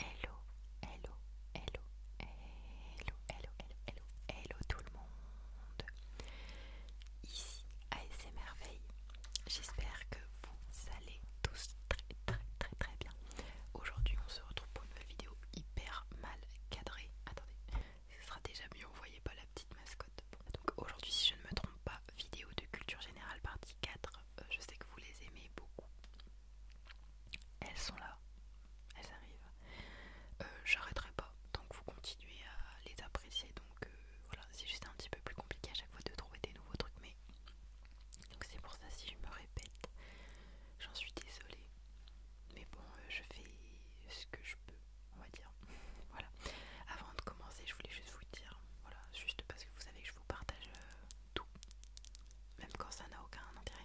Hello, hello, hello, hello, hello, hello, hello, hello tout le monde. Ici ASMRveille. J'espère que vous allez tous très très très très bien. Aujourd'hui on se retrouve pour une nouvelle vidéo hyper mal cadrée. Attendez, ce sera déjà mieux, vous voyez pas la petite mascotte. donc aujourd'hui si je ne me trompe pas, vidéo de culture générale partie 4 euh, je sais que vous les aimez beaucoup. Elles sont là, elles arrivent. Euh, j'arrêterai pas tant que vous continuez à les apprécier. Donc euh, voilà, c'est juste un petit peu plus compliqué à chaque fois de trouver des nouveaux trucs. Mais donc c'est pour ça si je me répète, j'en suis désolée. Mais bon, je fais ce que je peux, on va dire. voilà. Avant de commencer, je voulais juste vous dire, voilà, juste parce que vous savez que je partage euh, tout, même quand ça n'a aucun intérêt.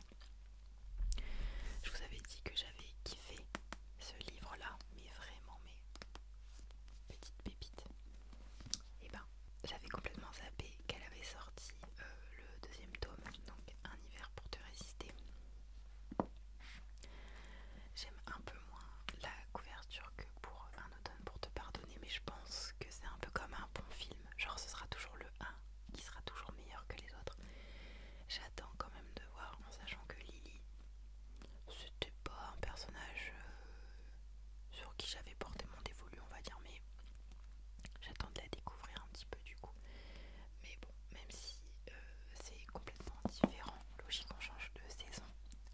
Je vous avais dit que j'avais kiffé ce livre-là, mais vraiment, mais petite pépite. Et eh ben, j'avais complètement zappé qu'elle avait sorti euh, le deuxième tome, donc Un hiver pour te résister. J'aime un peu moins la couverture que pour un pour te pardonner, mais je pense que c'est un peu comme un bon film. Genre, ce sera toujours le 1 qui sera toujours meilleur que les autres. J'attends quand même de voir en sachant que Lily, c'était pas un personnage euh, sur qui j'avais porté mon dévolu, on va dire, mais j'attends de la découvrir un petit peu du coup. Mais bon, même si euh, c'est complètement différent, logique, on change de saison,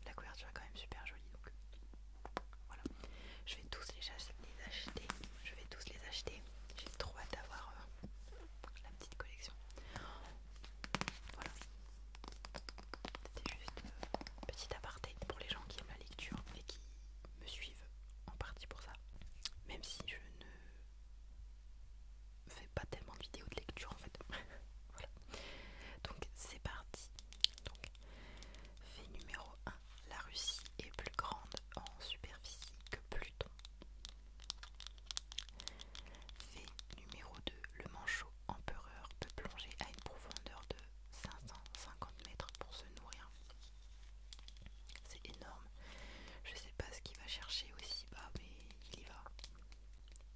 la couverture est quand même super jolie donc. Voilà. Je vais tous les acheter. Je vais tous les acheter. J'ai trop hâte d'avoir euh, la petite collection. Voilà. C'était juste un euh, petit aparté pour les gens qui aiment la lecture et qui me suivent en partie pour ça. Même si je ne fais pas tellement de vidéos de lecture en fait. voilà. Donc c'est parti. Fait numéro 1. La Russie est plus grande en superficie que Pluton. Fait numéro 2. Le manchot empereur peut plonger à une profondeur de 550 mètres pour se nourrir. C'est énorme. Je ne sais pas ce qu'il va chercher aussi bas, mais il y va.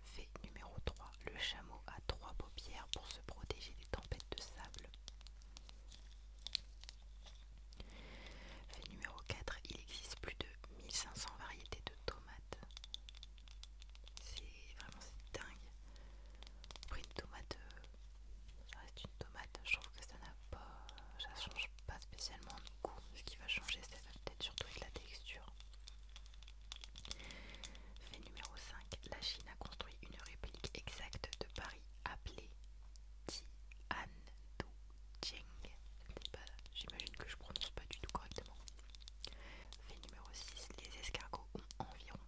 Fait numéro 3 le chameau a trois paupières pour se protéger des tempêtes de sable Fait numéro 4, il existe plus de 1500 variétés de tomates. C'est vraiment dingue. Pour une tomate, euh, ça reste une tomate. Je trouve que ça n'a pas, ça change pas spécialement de goût. Ce qui va changer, c'est peut-être surtout la texture. Fait numéro 5. La Chine a construit une réplique exacte de Paris appelée sais pas, J'imagine que je ne prononce pas du tout correctement. Fait numéro 6. Les escargots ont environ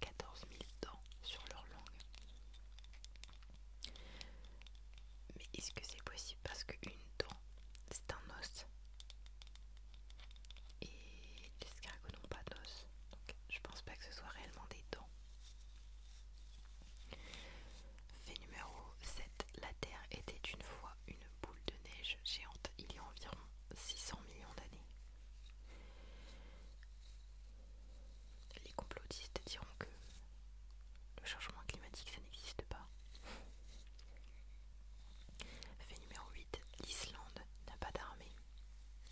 14 000 dents sur leur langue. Mais est-ce que c'est possible parce qu'une dent, c'est un os et les escargots n'ont pas d'os, donc je pense pas que ce soit réellement des dents. Fait numéro 7. La Terre était une fois une boule de neige géante il y a environ 600 millions d'années. Les complotistes diront que le changement climatique ça n'existe pas. Fait numéro 8. L'Islande n'a pas d'armée.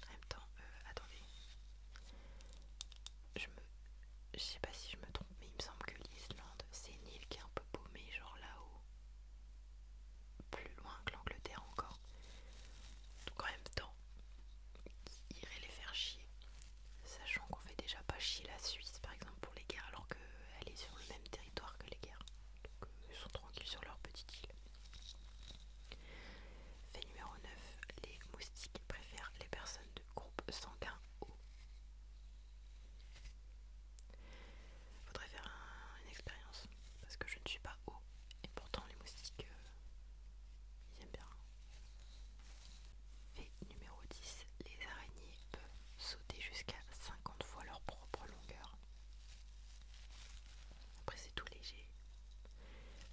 En même temps, euh, attendez. Je me. Je sais pas si je me trompe, mais il me semble que l'Islande, c'est une île qui est un peu paumée, genre là-haut. Plus loin que l'Angleterre encore. Donc en même temps, qui irait les faire chier. Sachant qu'on fait déjà pas chier la Suisse par exemple pour les guerres alors qu'elle est sur le même territoire que les guerres. Donc euh, ils sont tranquilles sur leur petite île. Fait numéro 9. Les moustiques préfèrent les personnes de groupe sanguin O. Faudrait faire une expérience parce que je ne suis pas haut et pourtant les moustiques euh, ils aiment bien. Fait numéro 10. Les araignées peuvent sauter jusqu'à 50 fois leur propre longueur. Après, c'est tout léger.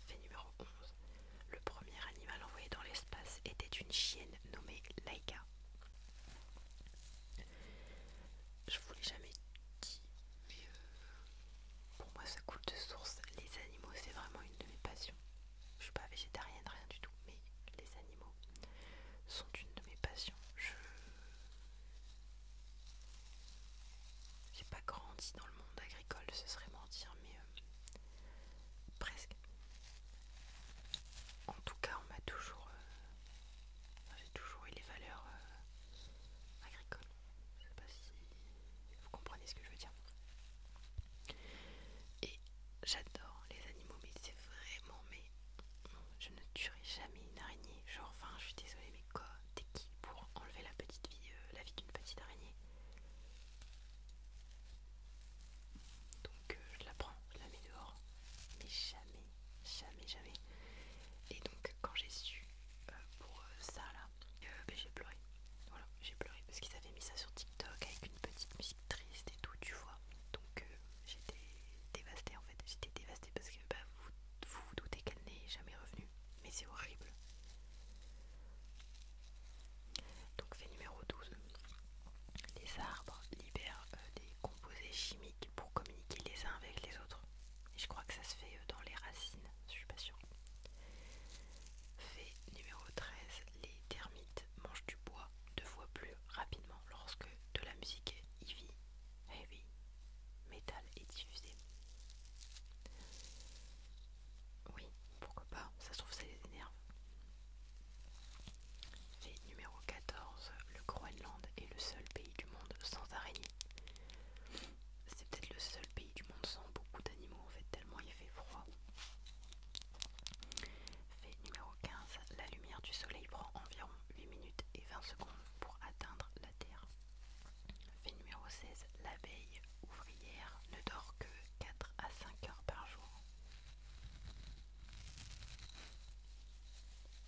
Fait numéro 11. Le premier animal envoyé dans l'espace était une chienne nommée Laika. Je vous l'ai jamais dit, mais euh, pour moi ça coule de source. Les animaux, c'est vraiment une de mes passions. Je suis pas végétarienne, rien du tout, mais les animaux sont une de mes passions. J'ai pas grandi dans le monde agricole, ce serait mentir, mais euh, presque. En tout cas, on m'a toujours. Euh, j'ai toujours eu les valeurs euh, agricoles. Je sais pas si vous comprenez ce que je veux dire. Et j'adore les animaux, mais c'est vraiment. Mais je ne tuerai jamais une araignée. Genre, enfin, je suis désolée, mais quoi T'es qui pour enlever la petite vie, euh, la vie d'une petite araignée Donc, euh, je la prends, je la mets dehors. Mais jamais, jamais, jamais. Et donc, quand j'ai su euh, pour ça là, ben, j'ai pleuré. Voilà, j'ai pleuré parce qu'ils avaient mis ça sur TikTok avec une petite musique triste et tout, tu vois. Donc, j'étais dévastée en fait. J'étais dévastée parce que bah, vous, vous doutez qu'elle n'est jamais revenue mais c'est horrible. Donc fait numéro 12. Les arbres libèrent euh, des composés chimiques pour communiquer les uns avec les autres. Et je crois que ça se fait euh, dans les racines, je suis pas sûre. Fait numéro 13. Les termites mangent du bois deux fois plus rapidement lorsque de la musique heavy, heavy métal est diffusé. Oui, pourquoi pas, ça se trouve ça les énerve. Fait numéro 14, le Groenland est le seul pays du monde sans araignées. C'est peut-être le seul pays du monde sans beaucoup d'animaux en fait, tellement il fait froid. Fait numéro 15, la lumière du soleil prend environ 8 minutes et 20 secondes pour atteindre la Terre. Fait numéro 16. L'abeille ouvrière ne dort que 4 à 5 heures par jour.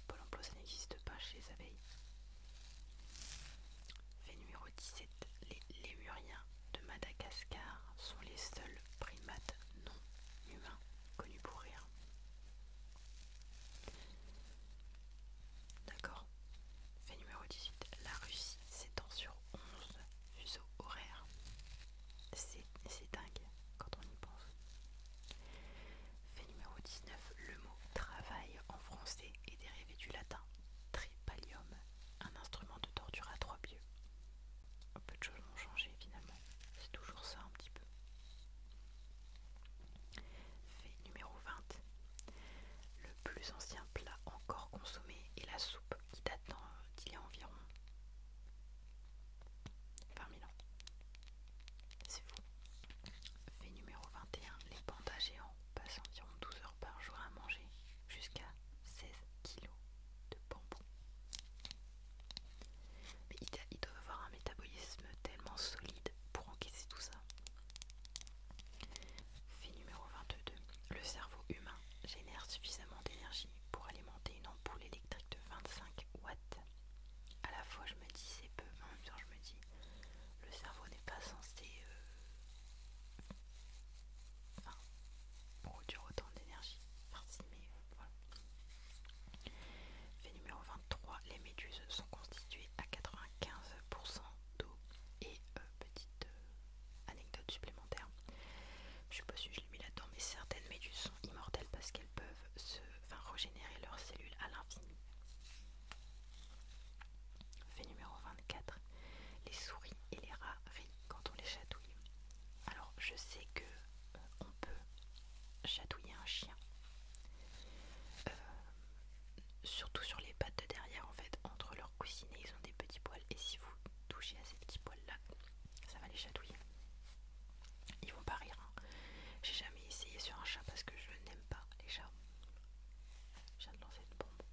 Pôle ça n'existe pas chez les abeilles. Fait numéro 17. Les lémuriens de Madagascar sont les seuls primates non humains connus pour rire. D'accord Fait numéro 18. La Russie s'étend sur 11 fuseaux horaires. C'est dingue quand on y pense. Fait numéro 19. Le mot travail en français est dérivé du latin tripalium, un instrument de torture à trois pieux. Peu de choses ont changé finalement. C'est toujours ça un petit peu fait numéro 20. Le plus ancien plat encore consommé est la soupe qui date d'il y a environ 20 000 ans. C'est fou. Fait numéro 21. Les pandas géants passent environ 12 heures par jour à manger jusqu'à 16 kilos de bambou. Mais ils doivent avoir un métabolisme tellement solide pour encaisser tout ça. Fait numéro 22. Le cerveau humain génère suffisamment d'énergie pour alimenter une ampoule électrique de 25 watts. À la fois, je me dis c'est peu, mais en même temps, je me dis le cerveau n'est pas censé euh, produire autant d'énergie. Fait numéro 23. Les méduses sont constituées à 95% d'eau et e petite euh, anecdote supplémentaire. Je sais pas si je l'ai mis là-dedans, mais certaines méduses sont immortelles parce qu'elles peuvent se, régénérer leurs cellules à l'infini. Fait numéro 24. Les souris et les rats rient quand on les chatouille. Alors je sais que euh, on peut chatouiller un chien. Euh, surtout sur les pattes de derrière en fait entre leurs coussinets ils ont des petits poils et si vous touchez à ces petits poils là ça va les chatouiller ils vont pas rire hein. j'ai jamais essayé sur un chat parce que je n'aime pas les chats j'ai de lancer une bombe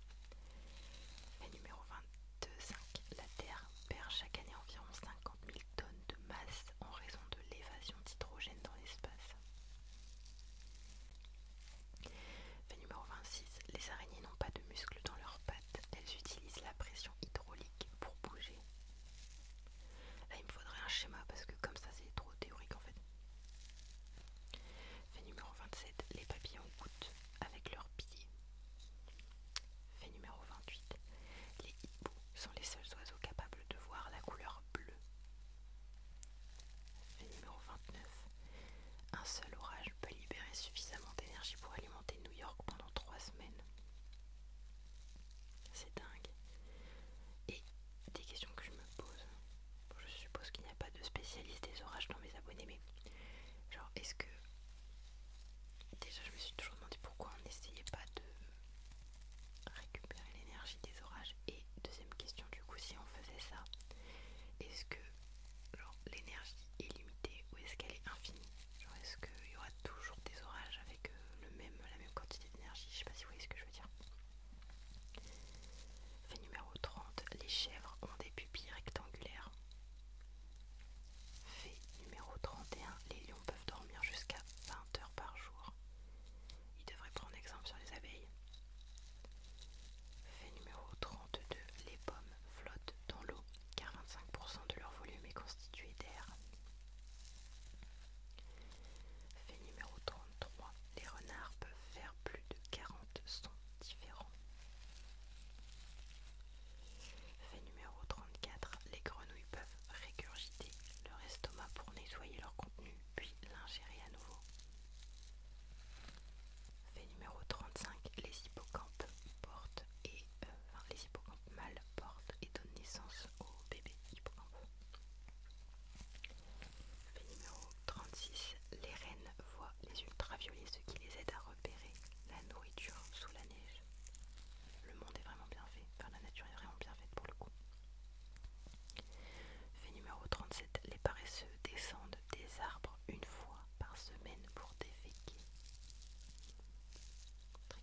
Et numéro 25 la terre perd chaque année environ 50 000 tonnes de masse en raison de l'évasion d'hydrogène dans l'espace fait numéro 26. Les araignées n'ont pas de muscles dans leurs pattes. Elles utilisent la pression hydraulique pour bouger. Là, il me faudrait un schéma parce que comme ça, c'est trop théorique en fait. Fait numéro 27. Les papillons goûtent avec leurs pieds. Fait numéro 28. Les hiboux sont les seuls oiseaux capables de voir la couleur bleue. Le numéro 29. Un seul orage peut libérer suffisamment d'énergie pour alimenter New York pendant 3 semaines. C'est dingue. Et des questions que je me pose. Je suppose qu'il n'y a pas de spécialiste des orages dans mes abonnés, mais genre est-ce que... Déjà je me suis toujours demandé pourquoi on n'essayait pas de récupérer l'énergie des orages. Et deuxième question du coup si on faisait ça, est-ce que euh, genre l'énergie est limitée ou est-ce qu'elle est infinie Genre est-ce qu'il y aura toujours des orages avec euh, la même quantité d'énergie Je sais pas si vous voyez ce que je veux dire. Fait numéro 30, les chèvres ont des pupilles rectangulaires. Fait numéro 31, les lions peuvent dormir jusqu'à 20 heures par jour. Ils devraient prendre exemple sur les abeilles. Fait numéro 32, les pommes flottent dans l'eau car 25% de leur volume est constitué d'air. Fait numéro 33, les renards peuvent faire plus de 40 sons différents. Fait numéro 34, les grenouilles peuvent régurgiter leur estomac pour nettoyer leur contenu puis l'ingérer à nouveau. Fait numéro 35, les hippocampes et euh, les mâles portent et donnent naissance aux bébés hippocampes Fait numéro 36, les rennes voient les ultraviolets, ce qui les aide à repérer la nourriture sous la neige. Le monde est vraiment bien fait, enfin la nature est vraiment bien faite pour le coup. Fait numéro 37, les paresseux descendent des arbres une fois par semaine pour déféquer. Très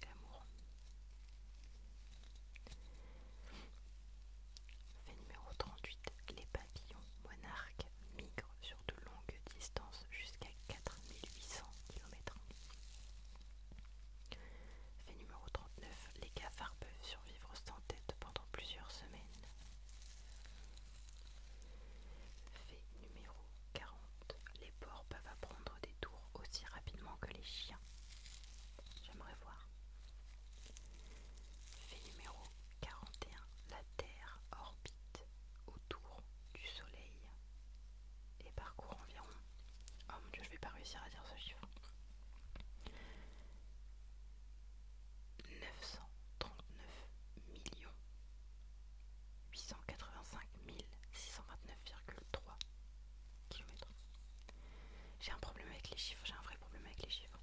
Fait numéro 38. Les pavillons monarques migrent sur de longues distances jusqu'à 4800 km. Fait numéro 39. Les cafards peuvent survivre sans tête pendant plusieurs semaines. Fait numéro 40. Les porcs peuvent apprendre des tours aussi rapidement que les chiens. J'aimerais voir. Fait numéro 41. La Terre orbite autour du Soleil et parcourt environ... Oh mon dieu, je vais pas réussir à dire ce chiffre. 939 millions 885 629,3 km. J'ai un problème avec les chiffres, j'ai un vrai problème avec les chiffres.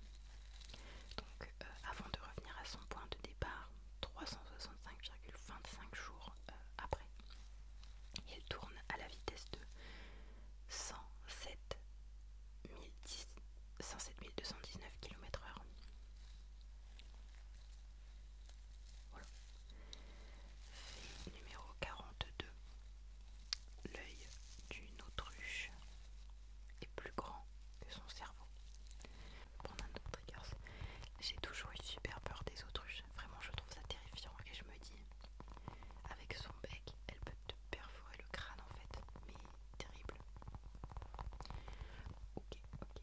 Donc euh, avant de revenir à son point de départ, 365,25 jours euh, après, il tourne à la vitesse de 107 107 219 km/h. Voilà. Fait numéro 42. L'œil d'une autruche est plus grand que son cerveau. Pendant un J'ai toujours eu super peur des autruches. Vraiment, je trouve ça terrifiant et je me dis, avec son bec, elle peut te perforer le crâne en fait. Mais terrible. Ok, ok.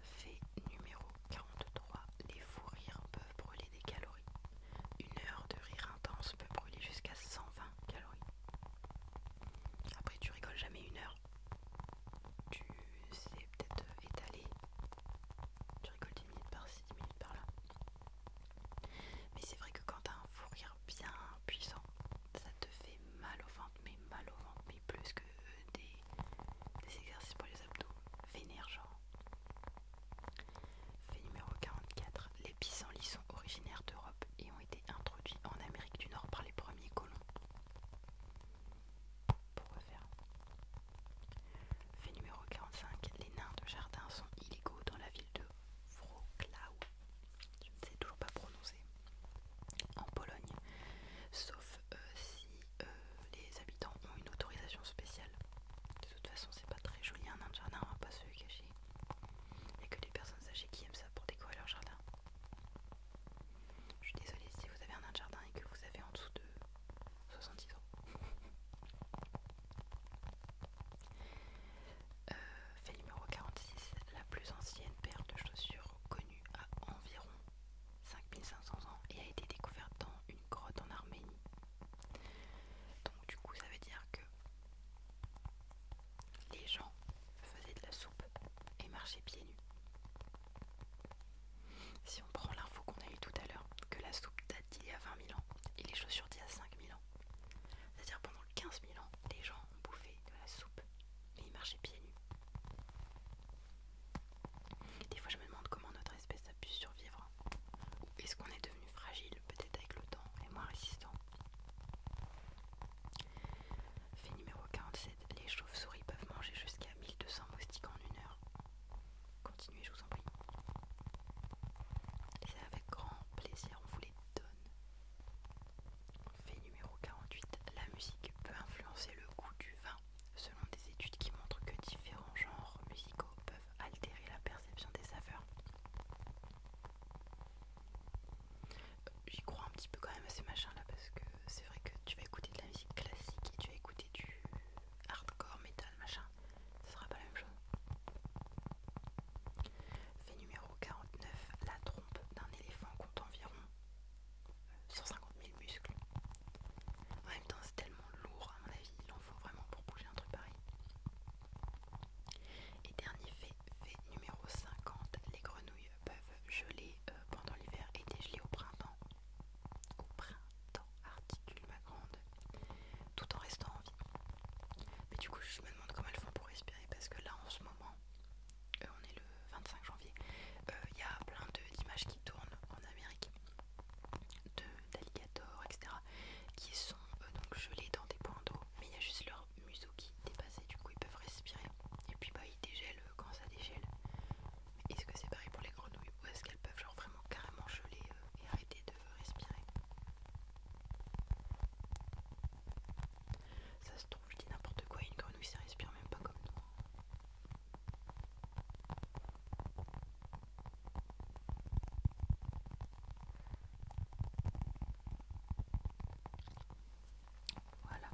Fait numéro 43. Les fous rires peuvent brûler des calories. Une heure de rire intense peut brûler jusqu'à 120 calories. Après, tu rigoles jamais une heure. Tu sais peut-être étaler tu rigoles 10 minutes par-ci, 10 minutes par-là. Mais c'est vrai que quand t'as un fou bien puissant, ça te fait mal au ventre, mais mal au ventre, mais plus que des, exercices pour les abdos. vénères, genre. Fait numéro 44. Les pissenlits sont originaires d'Europe et ont été introduits en Amérique du Nord par les premiers colons pour refaire. Fait numéro 45. Les nains de jardin sont illégaux dans la ville de Wrocław. Je ne sais toujours pas prononcer. En Pologne. Sauf euh, si euh, les habitants ont une autorisation spéciale. De toute façon, c'est pas très joli un nain de jardin, on va pas se le cacher. Il n'y a que des personnes âgées qui aiment ça pour décorer leur jardin. Je suis désolée si vous avez un nain de jardin et que vous avez en dessous de 70 ans. Euh, fait numéro 46, la plus ancienne paire de chaussures connue à environ 5500 ans et a été découverte dans une grotte en Arménie. Donc du coup ça veut dire que les gens faisaient de la soupe et marchaient pieds nus. Si on prend l'info qu'on a eue tout à l'heure, que la soupe date d'il y a 20 000 ans et les chaussures d'il y a 5 000 ans, c'est-à-dire pendant 15 000 ans, les gens ont bouffé de la soupe mais ils marchaient pieds nus. Des fois, je me demande comment notre espèce a pu survivre. Ou est-ce qu'on est devenu fragile, peut-être avec le temps, et moins résistant Fait numéro 47, les chauves-souris peuvent manger jusqu'à 1200 moustiques en une heure. Continuez, je vous en prie. Et c'est avec grand plaisir, on vous les donne. Fait numéro 48. La musique peut influencer le goût du vin, selon des études qui montrent que différents genres musicaux peuvent altérer la perception des saveurs. Euh, j'y crois un petit peu quand même à ces machins là parce que c'est vrai que tu vas écouter de la musique classique et tu vas écouter du hardcore, metal, machin ce sera pas la même chose. Fait numéro 49, la trompe d'un éléphant compte environ 150 euh, 000 muscles. En même temps, c'est tellement lourd, à mon avis, il en faut vraiment pour bouger un truc pareil. Et dernier fait, fait numéro 50, les grenouilles peuvent geler euh, pendant l'hiver et dégeler au printemps. Au printemps, articule ma grande, tout en restant en vie. Mais du coup, je me demande comment elles font pour respirer parce que là, en ce moment, euh, on est le 25 janvier, euh, il y a plein d'images qui tournent en Amérique d'alligators, etc., qui sont euh, gelés dans des points d'eau, mais il y a juste leur museau qui est dépassé, du coup ils peuvent respirer. Et puis bah ils dégèlent quand ça dégèle. Est-ce que c'est pareil pour les grenouilles ou est-ce qu'elles peuvent genre vraiment carrément geler euh, et arrêter de respirer Ça se trouve, je dis n'importe quoi, une grenouille ça respire même pas comme nous. Voilà,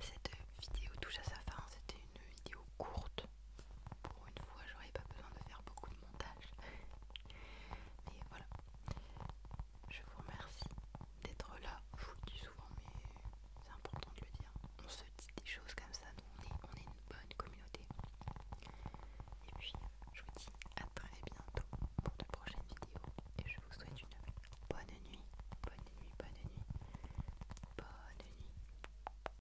cette vidéo touche à sa fin, c'était une vidéo courte. Pour une fois, j'aurais pas besoin de faire beaucoup de montage. Mais voilà. Je vous remercie d'être là. Je vous le dis souvent, mais c'est important de le dire. On se dit des choses comme ça, donc on est, une bonne communauté. Et puis, je vous dis à très bientôt pour de prochaines vidéos. Et je vous souhaite une bonne nuit. Bonne nuit, bonne nuit. Bonne nuit.